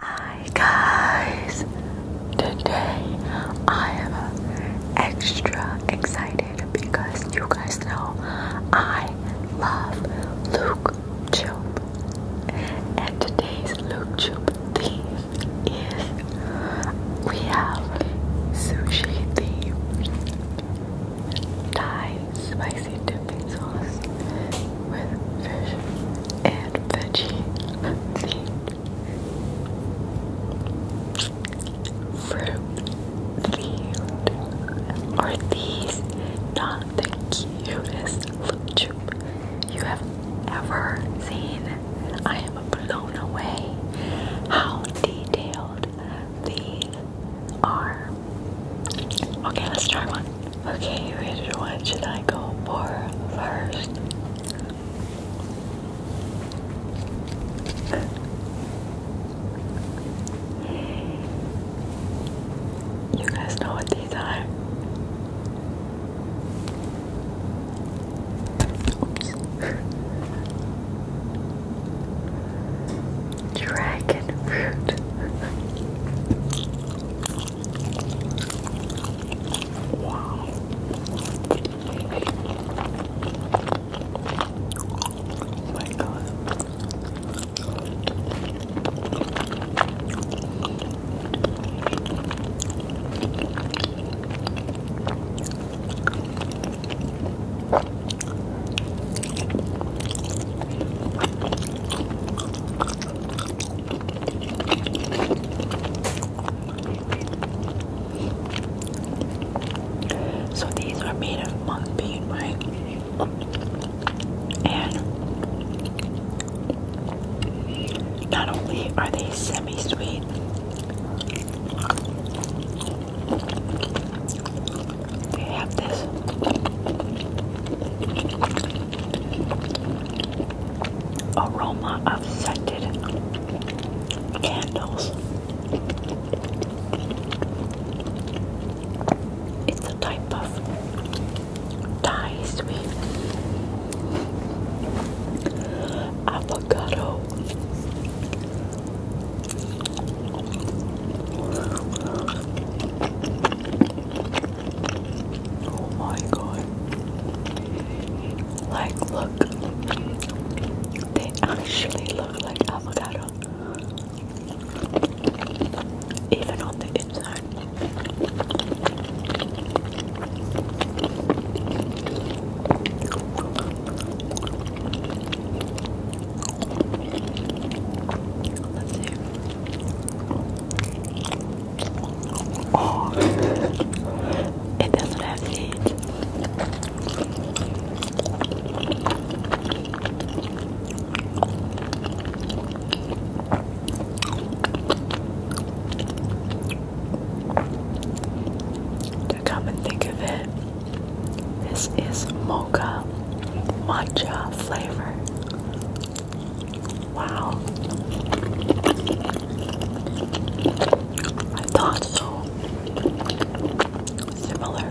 Hi guys! Today I am extra excited because you guys know I love Luke Tube. And today's Luke Tube theme is we have sushi theme. Thai spicy dipping sauce with fish and veggie fruit Are these not the cutest loop you have ever seen? I am blown away how detailed these R. Okay, let's try one. Okay, which one should I go for first? You guys know what these are. Oops. Dragon fruit. wow. my god. So these are made of monk bean, right? And not only are they semi sweet, they have this aroma of scented candles. It's a type of Thai sweet avocado Oh my god. Like, look, they actually look like avocado, even on the inside. Let's it doesn't have To come and think of it, this is mocha matcha flavor. Wow. I thought so. Similar.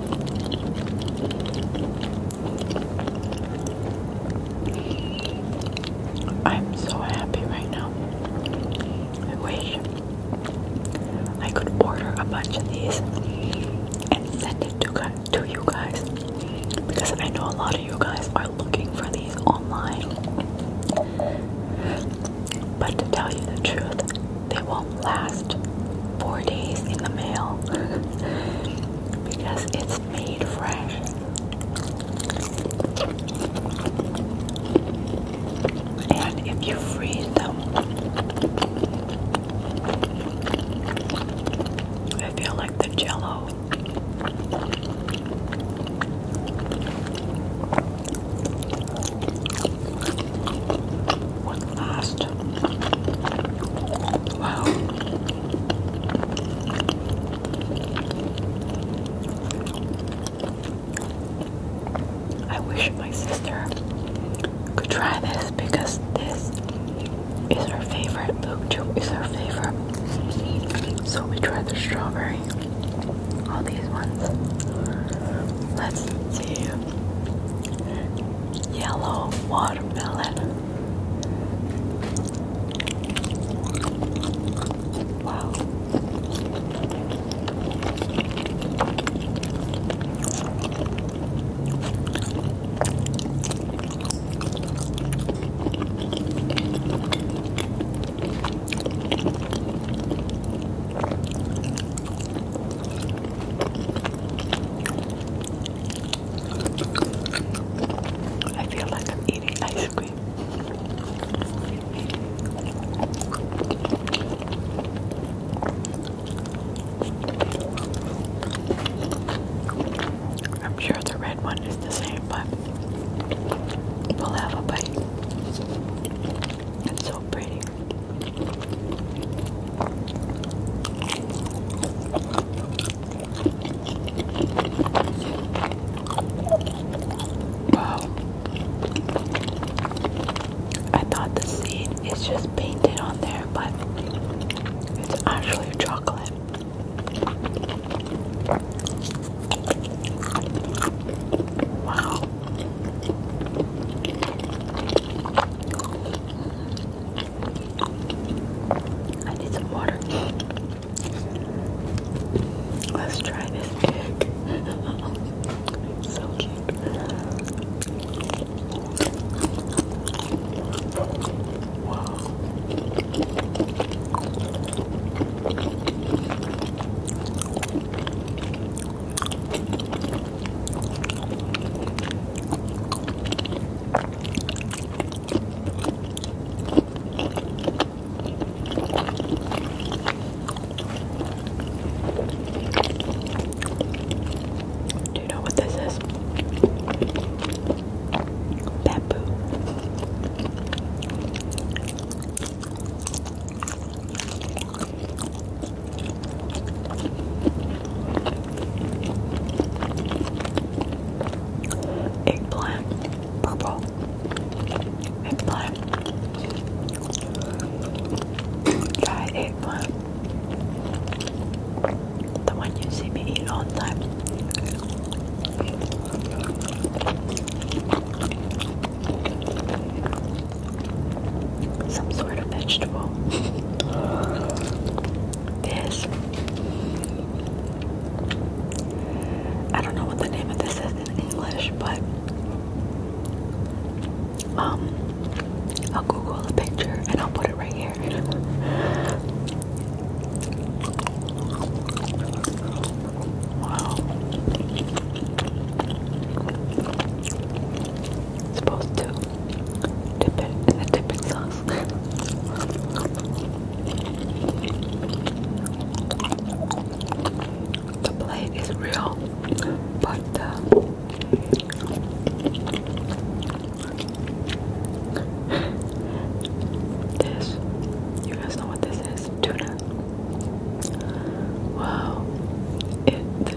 I'm so happy right now. I wish I could order a bunch of these and send it to, to you guys because I know a lot of you guys are looking for these online. But to tell you the truth, they won't last four days in the mail because it's made fresh. And if you freeze them, I feel like the jello. What last? Wow. I wish my sister could try this because this is her favorite. Book tube is her favorite. So we tried the strawberry. All these ones. Let's see yellow watermelon. Wow. I feel like I'm eating ice cream. I'm sure the red one is the same, but we'll have a bite. It's so pretty. Wow. I thought the seed is just painted on there, but it's actually chocolate. Wow. I need some water. Let's try this so cute. Wow. Do you know what this is? Bamboo. Eggplant, purple, eggplant, dry eggplant, the one you see me eat all the time some sort of vegetable. this. I don't know what the name of this is in English, but um, I'll Google a picture and I'll put it right here. wow supposed to dip it in the dipping sauce. the plate is real, but uh, this, you guys know what this is? Tuna. Wow. It, the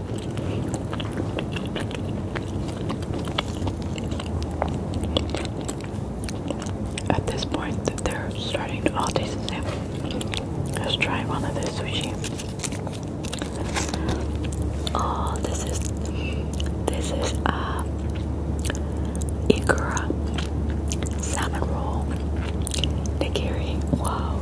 At this point, they're starting to all taste the same. Let's try one of the sushi. Oh, this is this is uh, ikura salmon roll nigiri. Wow,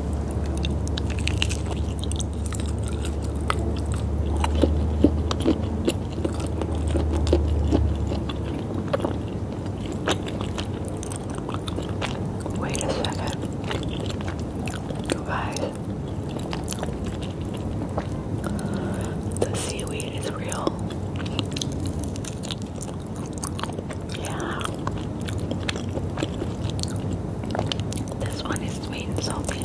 Wait a second. guys, the seaweed is real. Yeah. This one is sweet and salty.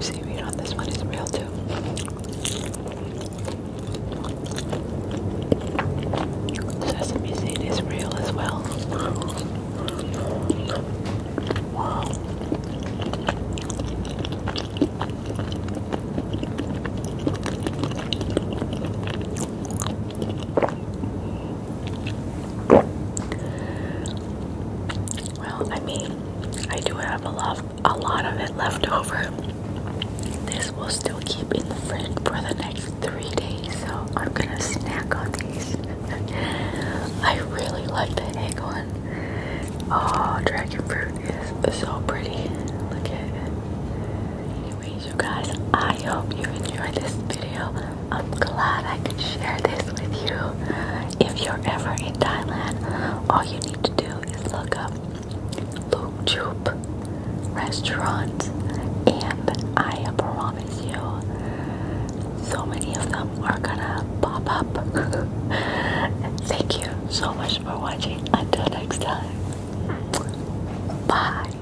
Seaweed on this one is real too. Sesame seed is real as well. Wow. Well, I mean, I do have a love a lot of it left over. This will still keep in the fridge for the next three days, so I'm gonna snack on these. I really like the egg one. Oh, dragon fruit is so pretty. Look at it. Anyways, you guys, I hope you enjoyed this video. I'm glad I could share this with you. If you're ever in Thailand, all you need to do is look up Loop Choop restaurants, and I promise you, so many of them are gonna pop up. Thank you so much for watching. Until next time, bye.